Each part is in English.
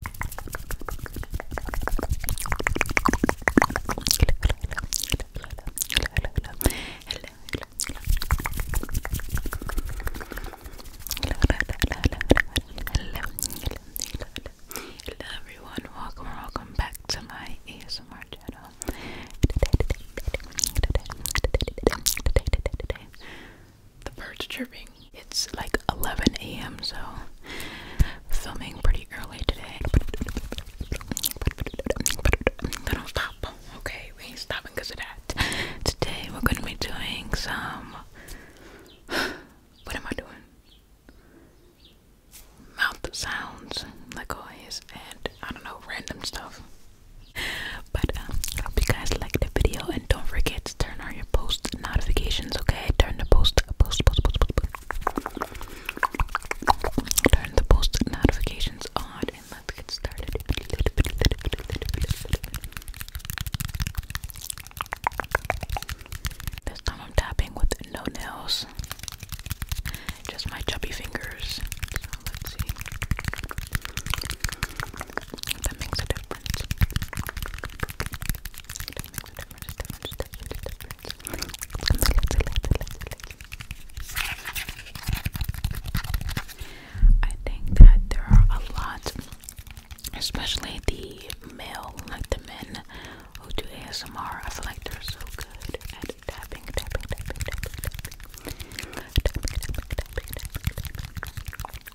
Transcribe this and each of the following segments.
Hello everyone, welcome welcome back to my ASMR channel. Today, today, today, today, today, today, today, today, today, today, today, today the birds chirping. It's like 11 a.m. so filming pretty early today. But do stop. Okay, we stopping because of that. Today we're gonna be doing some. What am I doing? Mouth sounds, like always, and I don't know, random stuff. But um, hope you guys liked the video and don't forget to turn on post notifications, okay? Turn the post post post post post, post. Turn the post notifications on and let's get started. This time I'm tapping with no nails. Just my chubby fingers. So let's see. That makes a difference. I think that there are a lot, especially the male, like the men who do ASMR. I feel like they're so good at tapping, tapping, tapping, tapping, tapping, tapping, tapping,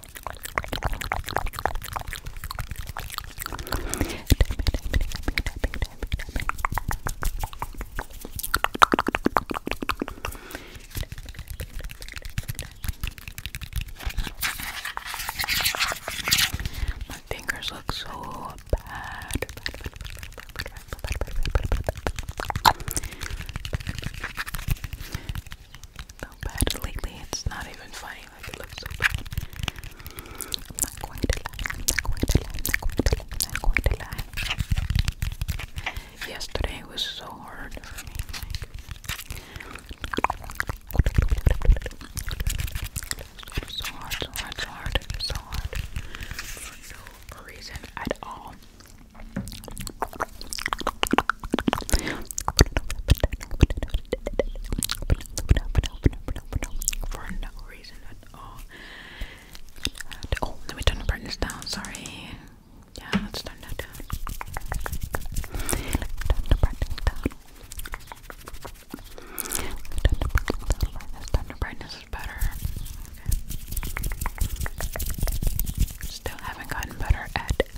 my fingers look so bad so bad lately. It's not even funny. Like it looks so bad. not going to lie. not going to lie. not going to lie. not going to lie. Yesterday was so hard so hard, so hard, so hard, no reason at all. For no reason at all. oh, let me turn the brightness down. Sorry. Yeah, let's turn that down. Let's turn the brightness down. Thunder brightness is better. Still haven't gotten better at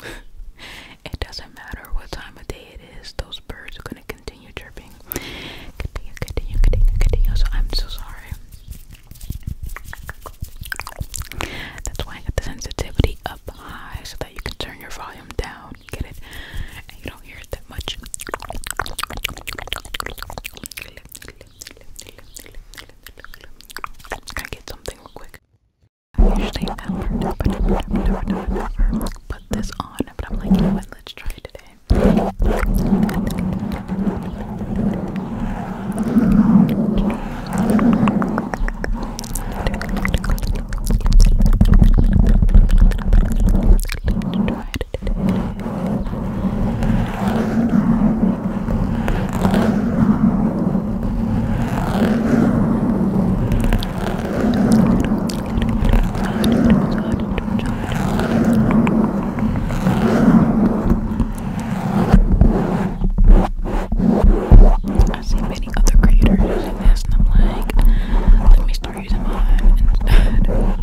it doesn't matter what time of day it is, those birds are gonna continue chirping. Continue, continue, continue, continue. So I'm so sorry. That's why I got the sensitivity up high so that you can turn your volume down, get it? And you don't hear it that much. I get something real quick? I usually never, never, never, never, never, never put this on, but I'm like, you what, let's try Let's try it today. I've seen many other creators using this, and I'm like, let me start using mine instead.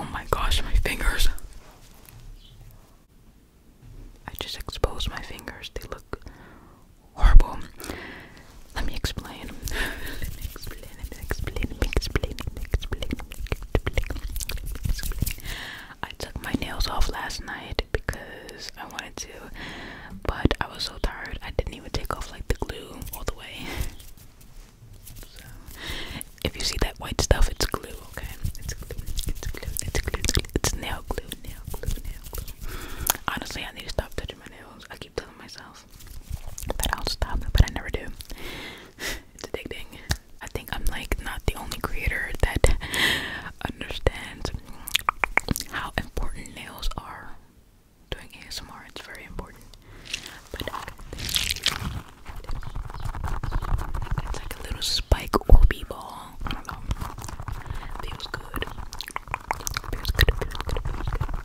Oh my gosh, my fingers. I just exposed my fingers. They look horrible. Let me explain. Let me explain explain, let me explain, let me explain, let me explain, let me explain, let me explain. I took my nails off last night because I wanted to, but I was so tired I didn't even take off like the glue all the way. So, if you see that white stuff, it's glue, okay? It's glue, it's glue, it's glue, it's, glue. it's nail glue, nail glue, nail glue. Honestly, I need to stop touching my nails. I keep telling myself that I'll stop, but I never do. it's addicting. I think I'm like not the only creator that understands how important nails are. Doing ASMR, it's very important. But uh, it's like a little spike Orby ball. I don't know. Feels good. Feels good. Feels good. Feels good.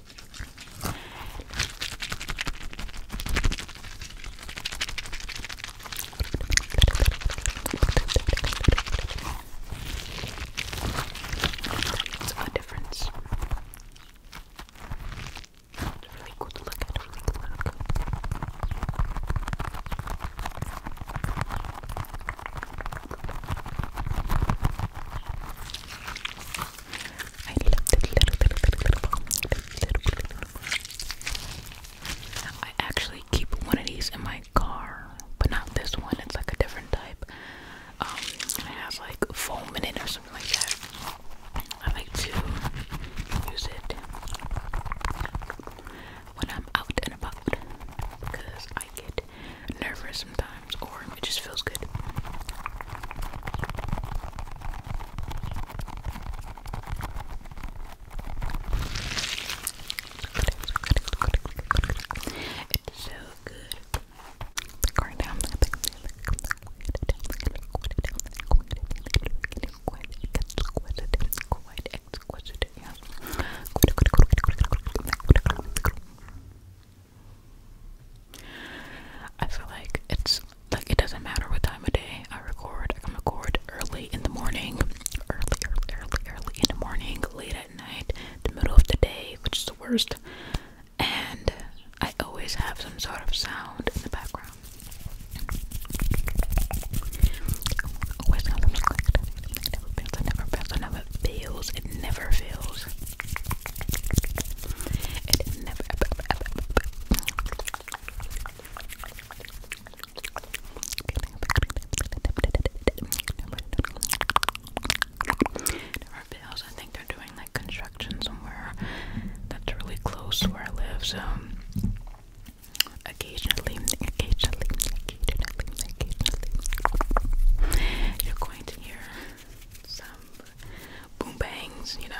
good. It's a difference. It's really cool to look at, really cool look. I actually keep one of these in my car, but not this one. It's like a different type. Um, it has like foam in it or something like that. I like to use it when I'm out and about because I get nervous sometimes it just feels good. It's so good. I feel like it's like it doesn't matter what time of day I record. I record early in the morning, early, early, early, early in the morning, late at night, the middle of the day, which is the worst. And I always have some sort of sound in the background. Always have some sound. never fails. never fails. It never fails. It never. Never fails. I think they're doing like construction somewhere that's really close to where I live, so um, occasionally, occasionally, occasionally, occasionally, you're going to hear some boom bangs, you know.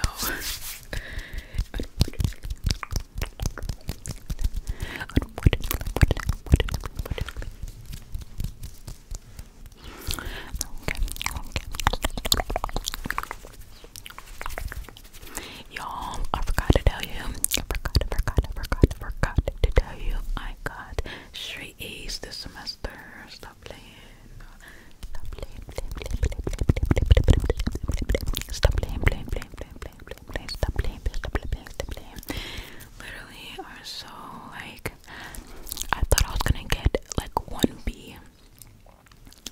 Y'all, I forgot to tell you. forgot, forgot, forgot, forgot to tell you. I got straight A's this semester stop playing. Stop playing, playing, playing, playing, playing, Stop playing, playing, playing, playing, playing, playing, playing. Stop playing, stop playing, stop playing. Literally are so like I thought I was gonna get like one B.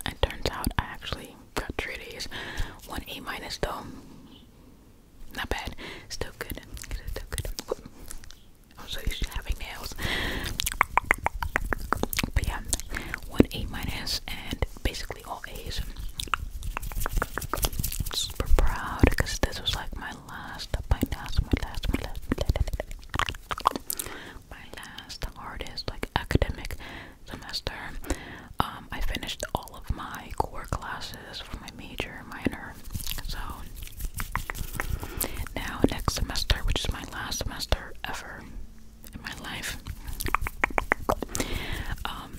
And turns out I actually got three A's. One A minus though. Not bad. Still good. Still good so used to having nails. But yeah, one A minus and basically all A's. super proud because this was like my last, my last, my last, my last, my last hardest like academic semester. Um, I finished all of my core classes for my major, minor. So now next semester, which is my last semester ever, in my life. Um,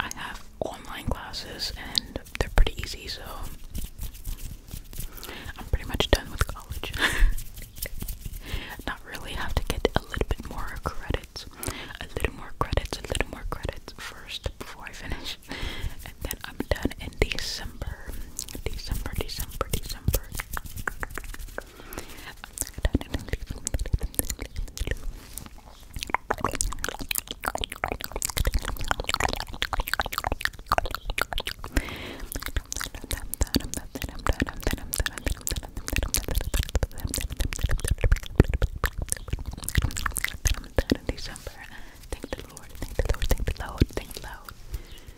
I have online classes and they're pretty easy, so I'm pretty much done with college. Not really, have to get a little bit more credits, a little more credits, a little more credits first before I finish, and then I'm done in December. December, December, December. December. Thank the Lord, thank the Lord, thank the Lord, thank the Lord.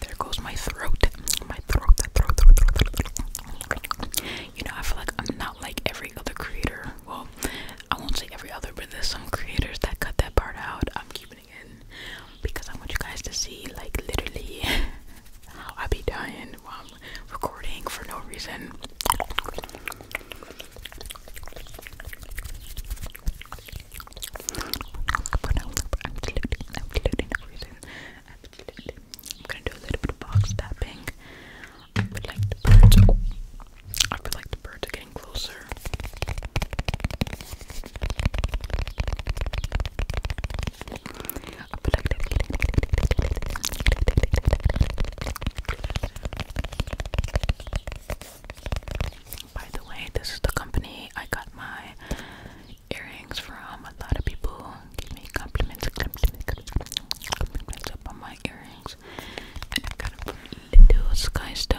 There goes my throat. My throat, You know, I feel like I'm not like every other creator. Well, I won't say every other, but there's some creators that cut that part out. I'm keeping it in because I want you guys to see, like, literally how I be dying um, recording for no reason. For no, absolutely, absolutely no reason. I'm gonna do a little bit of box tapping. I would like the birds. I would like the birds getting closer. By the way, this is the company I got my earrings from. A lot of people give me compliments, compliments, compliments about my earrings. I got them Little Sky Stone.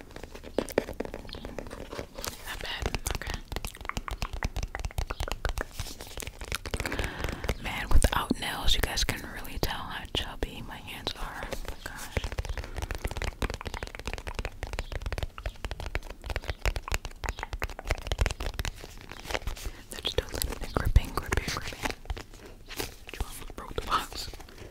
Not Okay. Man, without nails, you guys can really tell how chubby my hands are. Oh gosh. They're just gripping, gripping, gripping. You almost broke the box.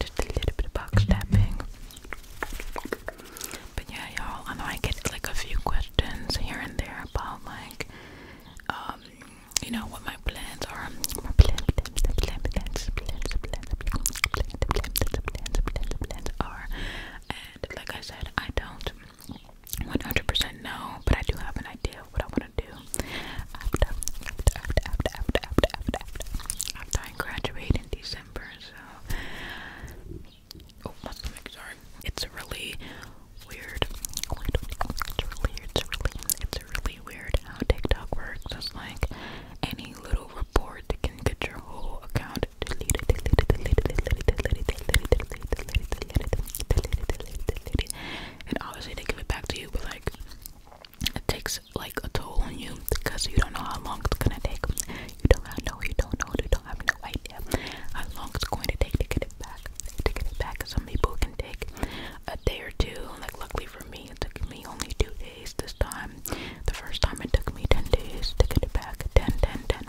Just a little bit of box tapping. But yeah, y'all, I know I get like a few questions here and there about like, um, you know, what my plans are. My plans, plans, plans, plans, plans, plans, plans, plans, plans, plans, plans are. And like I said, I don't 100% know, but I do have an idea of what I want to do graduate in December, so oh my stomach, sorry. It's really weird. It's really, it's really, it's really weird how TikTok works. It's like any little report that can get your whole account deleted. deleted, deleted, deleted, deleted, deleted, deleted, deleted, deleted, deleted, deleted, deleted. And obviously they give it back to you, but like it takes like a toll on you because you don't know how long it's gonna take. You don't know, you don't know, you don't have no idea how long it's going to take to get it back. To get it back, some people can take a day or two. Like luckily for me, it took me only two days this time. The first time it took me ten days to get it back. Ten, ten, 10, 10.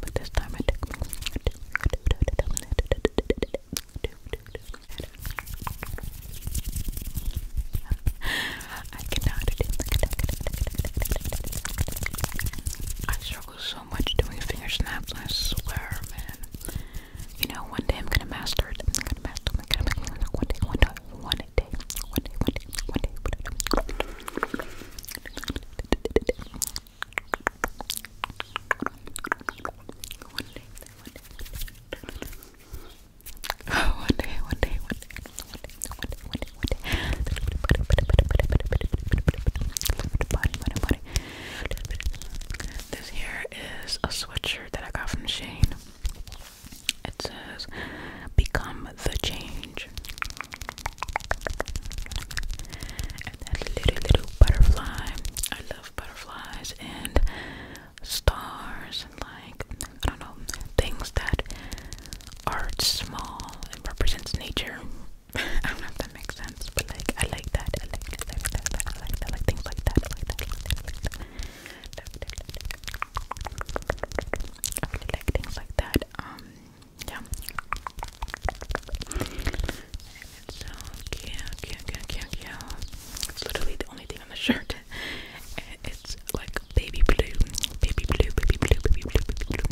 But this time it took me I struggle so much doing finger snaps, I swear, man. You know, one day I'm gonna master it. I'm gonna master it. I'm gonna master one day, one day, one day, one day. One day. One day, one day, one day. One day, one day, one day, one day, one day, one day, one day. Body, body, body. This here is a sweatshirt that I got from Shane. It says, "Become the change." And that little little butterfly. I love butterflies, and stars and like I don't know things that are small and represents nature. I don't know if that makes sense, but like I like that. I like that. I like that. I like that. I like things like that. I like that. I like that. I like things like that. Um, yeah. so cute, cute, cute, cute, cute. It's literally the only thing on the shirt. it's like baby blue, baby blue, baby blue, baby blue, baby blue,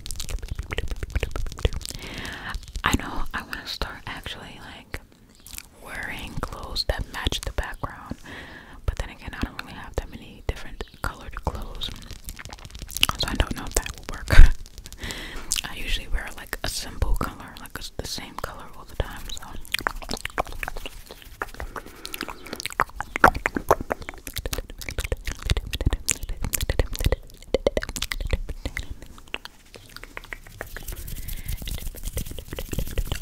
baby blue, baby blue. I know I want to start actually like wearing clothes that match the background, but then again, I don't really have that many different colored clothes, so I don't know if that will work. I usually wear like a simple color, like the same color Oh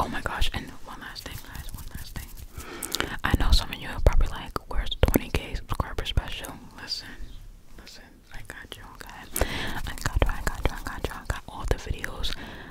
my gosh, and one last thing, guys, one last thing. I know some of you are probably like, where's the 20k subscriber special? Listen, listen, I got you, okay? I got you, I got you, I got you, I got all the videos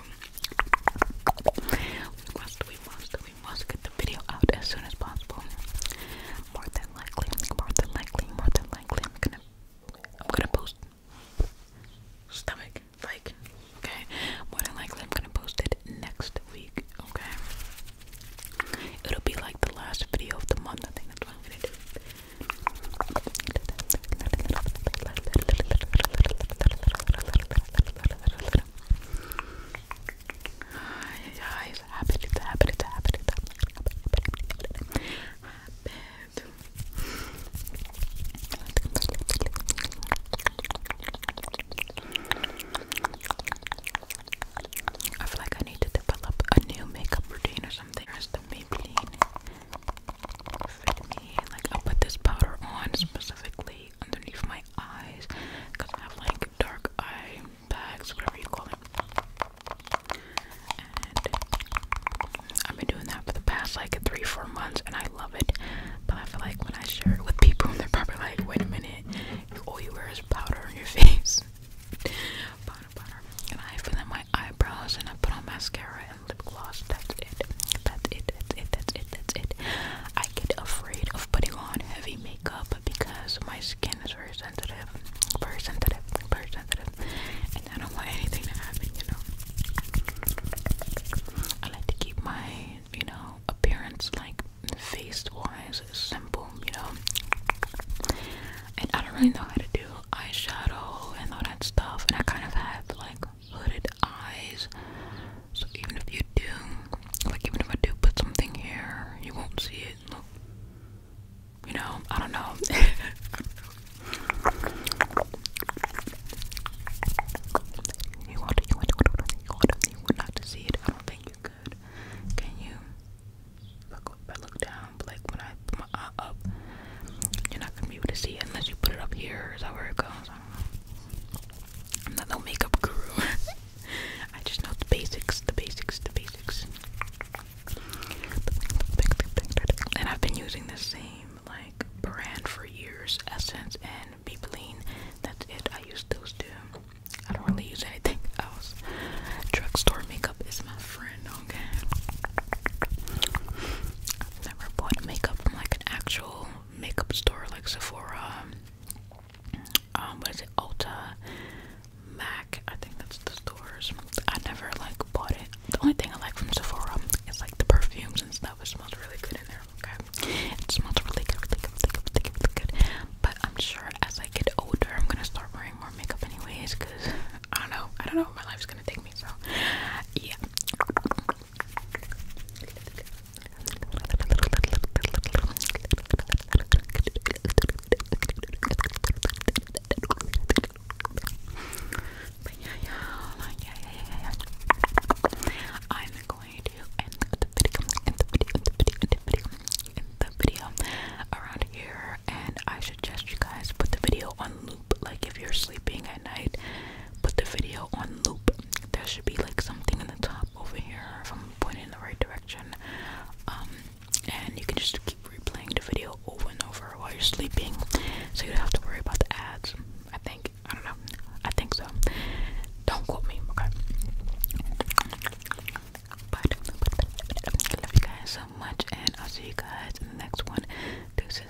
we must, we must, we must get the video out as soon as possible. More than likely, more than likely, more than likely, I'm gonna, I'm gonna post stomach, like, okay? More than likely, I'm gonna post it next week, okay? It'll be like the last video of the month, I think that's what I'm gonna do. It's happened, it's happened, it's happened, it's happened. Happened. I feel like I need to develop a new makeup routine or something. Here's the Maybelline like i put this powder on specifically underneath my eyes because I have like dark eye bags, whatever you call it. And I've been doing that for the past like three, four months, and I love it. But I feel like when I share it with people, they're probably like, "Wait a minute, all you wear is powder on your face." powder, powder. And I fill in my eyebrows, and I put on mascara, lip gloss. That's it. That's it. That's it. That's it. That's it. I get afraid of putting on heavy makeup because my skin is very sensitive, very sensitive, very sensitive, and I don't want anything to happen. You know, I like to keep my, you know, appearance like face-wise simple. You know. And I don't really know how to do eyeshadow and all that stuff, and I kind of have like hooded eyes. So even if you do, like even if I do put something here, you won't see it. you know, I don't know. you want, you want, you want, you you want not to see it. I don't think you could. Can you? Look, I look down, but like when I put my eye up. You're not gonna be able to see it unless you put it up here. Is that where it goes? I don't know. I'm not no makeup guru. I just know the basics, the basics, the basics. And I've been using the same like brand for years, Essence and Maybelline. That's it. I use those two. I don't really use anything else. Drugstore makeup is my friend, okay? never bought makeup from like an actual makeup store like Sephora. Um, what is it? Ulta, Mac. I think that's the stores. I never like bought it. The only thing I like from Sephora is like the perfumes and stuff. It smells really good in there. Okay, it smells really good, really good. Really good. But I'm sure as I get older, I'm gonna start wearing more makeup anyways. Cause I don't know. I don't know where my life's gonna take me. So yeah. I'm going to end the video, end the video, end the video, end the video, end the video around here, and I suggest you guys put the video on like if you're sleeping at night, put the video on loop. There should be like something in the top over here if I'm pointing in the right direction. Um, and you can just keep replaying the video over and over while you're sleeping, so you don't have to worry about the ads. I think I don't know. I think so. Don't quote me. Okay. But, love you guys so much, and I'll see you guys in the next one. Deuces.